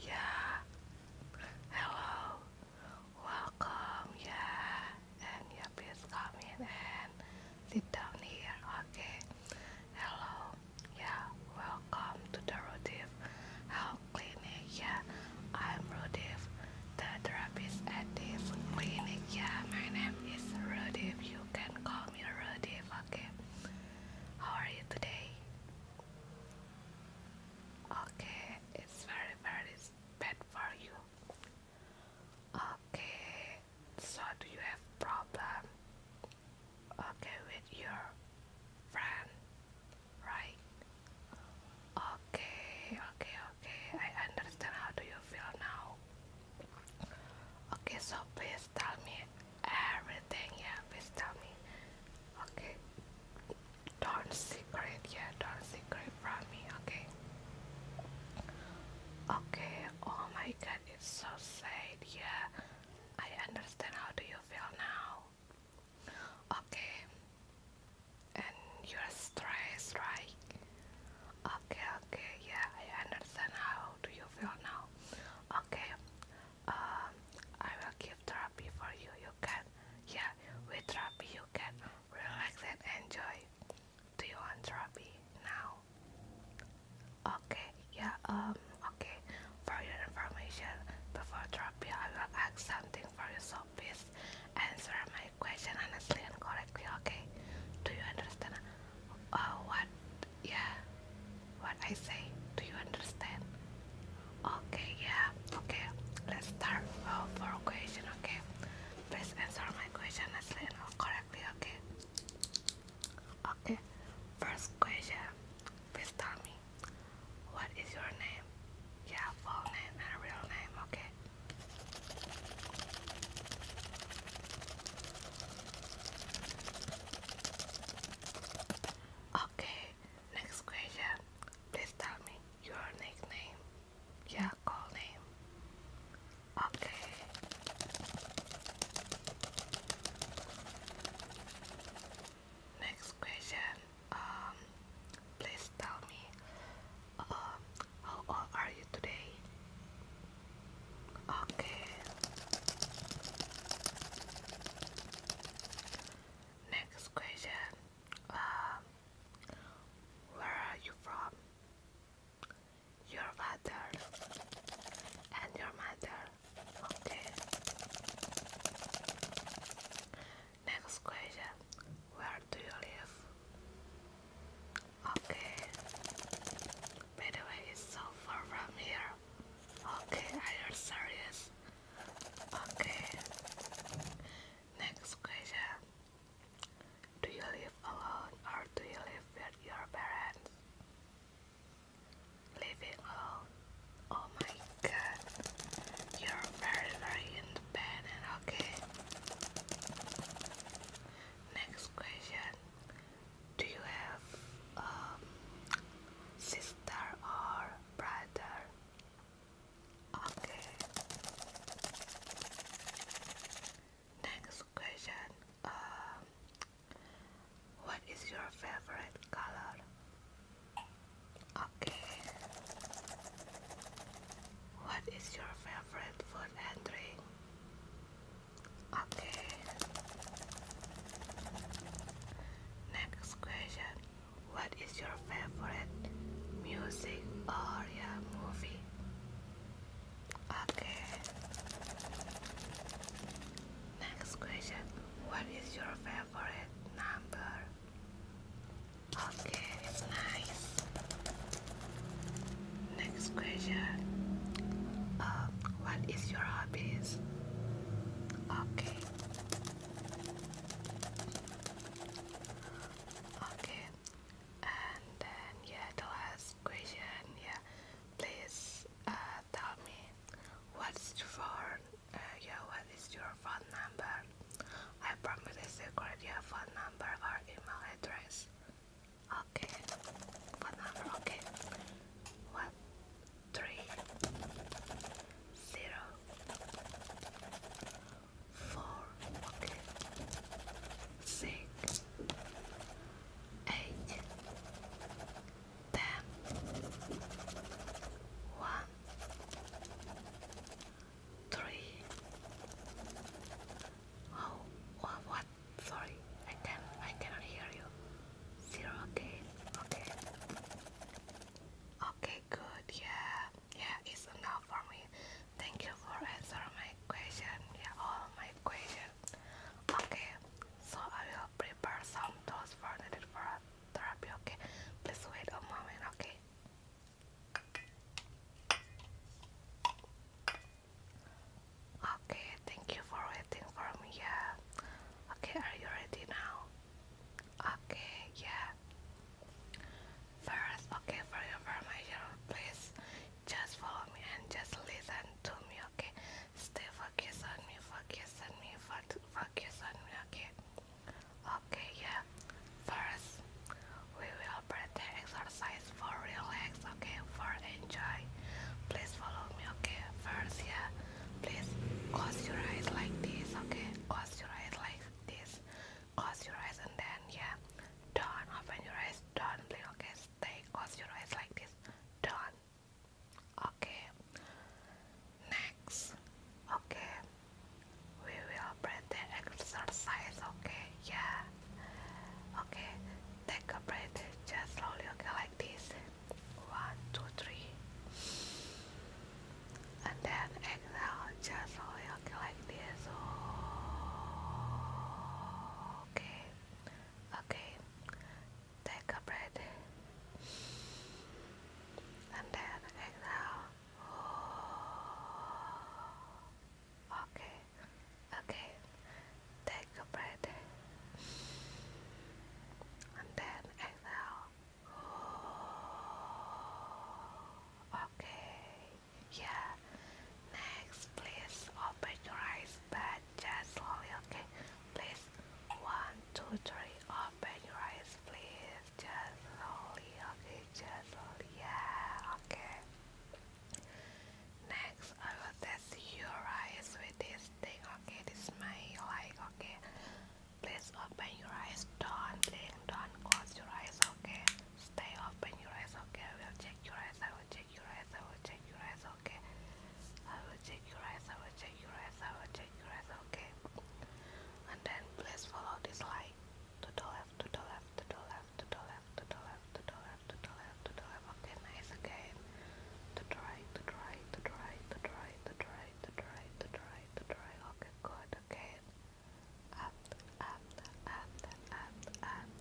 Yeah. Hello. Welcome. Yeah. And yeah, please come and sit down here. Okay. Hello. Yeah. Welcome to the Rodif Health Clinic. Yeah. I'm Rodif, the therapist at this clinic. Yeah. My name is Rodif. You can call me Rodif. Okay. How are you today? Okay, it's very very bad for you. Okay, so do you have problem? Okay, with your friend, right? Okay, okay, okay. I understand how do you feel now. Okay, so please tell me everything yeah please tell me okay don't secret yeah don't secret from me okay okay oh my god it's so sad yeah I understand how do you feel now okay and you're stressed right okay okay yeah I understand how do you feel now okay um, I will give therapy for you. You can, yeah, with therapy you can relax and enjoy. Do you want therapy now? Okay, yeah, um, okay. For your information, before therapy, I will ask something for you, so please answer my question honestly and correctly, okay? Do you understand uh, what yeah. What I say? Do you understand? Okay, yeah. Okay, let's start for question, okay? Please answer my question as little correctly, okay? Okay, first question. Please tell me, what is your name? Yeah, full name and real name, okay? Okay, next question. Please tell me your nickname. Yeah, call name. Okay. Next question. Um, please tell me. Um, how old are you today? Okay. Next question. Um, where are you from? Your father and your mother. Okay. Next question. Where do you live? Okay. By the way, it's so far from here. Okay, are you serious? Okay. Next question. Do you live alone or do you live with your parents? Living alone. Oh my god. You're very very independent, okay? Next question. Do you have um, sister or brother? Okay. Next question. Um, what is your favorite color? Okay. What is your favorite food and drink? Okay. Next question. What is your favorite music or yeah, movie? Okay. Next question. What is your favorite number? Okay, it's nice. Next question. Uh, what is your hobbies. Okay. Okay. And then yeah, the last question. Yeah, please uh, tell me what's your Uh, what is your phone number? I promise a secret. Your phone number or email address. Okay. Phone number. Okay. What? three, zero, four, okay, six, eight, ten, what, oh, sorry, I can, I cannot hear you. Zero, okay, okay. Okay, good, yeah, yeah, it's enough for me. Thank you for answering my question, yeah, all my questions. Okay, so I will prepare some tools for needed for therapy, okay? Please wait a moment, okay? Okay, thank you for waiting for me. Yeah. Okay, are you ready now? Okay, yeah. First, okay, for your information, please just follow me and just listen to me, okay? Stay focused on me, focus on me, focus on me, okay? Okay, yeah. First, we will practice exercise for relax, okay? For enjoy. Please follow me, okay? First, yeah. Please close your eyes like this, okay? Close your eyes like this. Close your eyes and then, yeah. Don't open your eyes. Don't blink, okay? Stay. Close your eyes like this. Don't. Okay. Next. Okay. We will breathe the exercise, okay? Yeah. Okay. Take a breath. Just slowly, okay? Like this. One, two, three. And then exhale just like this. Okay. Okay. Take a breath. And then exhale. Okay. Okay. Take a breath and then exhale. Okay, yeah. Next, please open your eyes, but just slowly, okay? Please, one, two, three, open your eyes, please. Just slowly, okay? Just slowly, yeah, okay. Next, I will test your eyes with this okay? This is okay? Please open your eyes. Don't blink. Don't close your eyes, okay? Stay open your eyes, okay? I will check your eyes. I will check your eyes. I will check your eyes, okay? I will check your eyes. I will check your eyes. I will check your eyes, okay? And then please follow this light to the left, to the left, to the left, to the left, to the left, to the left, to the left, to the left, fucking nice game to try, to try, to try, to try, to try, to try, to try, to try. Okay, good, okay. Up, up, up, up, up,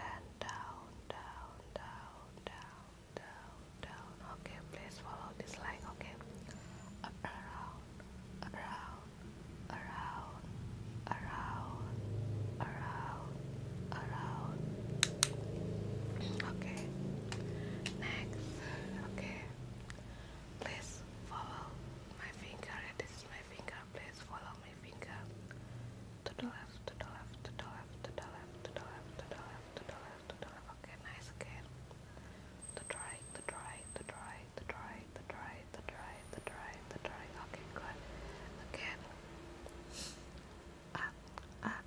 and down, down, down, down, down, down. Okay, please follow this line, okay? Up, around, around, around, around, around, around. Okay. Next. Okay. Please follow my finger. This is my finger. Please follow my finger. To the left, to the left, to the left, to the left, to the left, to the left, to the left, Okay, nice again. To the right, to the right, to the right, to the right, to the right, to the right, to the right, to the right. Okay, good. Again. Up, up,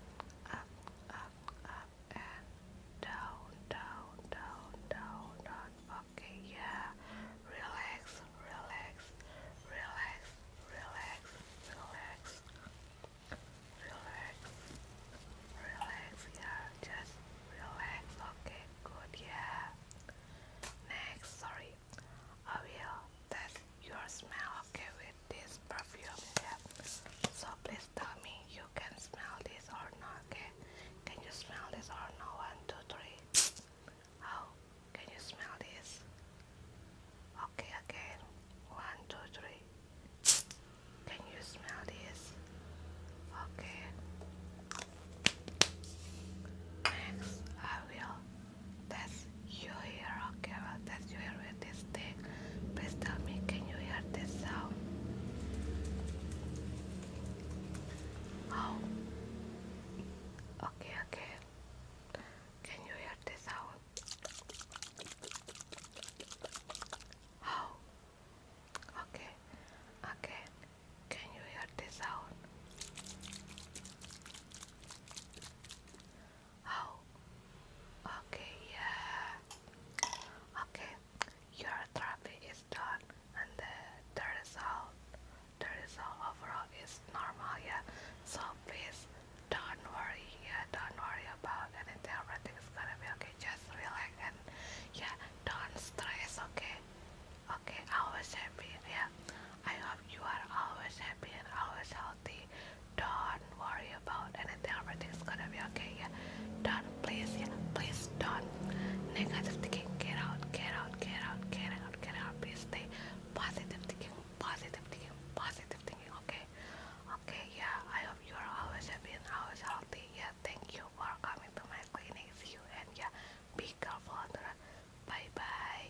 up, up, up and down, down, down, down, down. Okay, yeah. Relax, relax, relax, relax, relax, relax, relax. Yeah, just relax. Okay, good. Yeah. Next, sorry, I will test your smell. Okay, we this perfume you have. So please tell me you can smell this or not, okay? Can you smell this or no? One, two, three. Oh, can you smell this? Okay, again. One, two, three. Can you smell this? Okay. Next, I will test you hear okay? carrot that you hear this thing? Please tell me, can you hear this sound? Oh, okay, okay. Can you hear this sound? Oh, okay, okay. Can you hear this sound? Oh, okay, yeah. Okay, your therapy is done, and the, result, the result overall is normal, yeah. So please don't worry, yeah. Don't worry about anything. Everything is gonna be okay. Just relax and yeah, don't stress, okay? Okay, always happy, yeah. I hope you are always happy and always healthy don't worry about anything everything's gonna be okay yeah don't please yeah please don't negative thinking get out get out get out get out get out please stay positive thinking positive thinking positive thinking okay okay yeah i hope you're always happy and always healthy yeah thank you for coming to my clinic see you and yeah be careful bye bye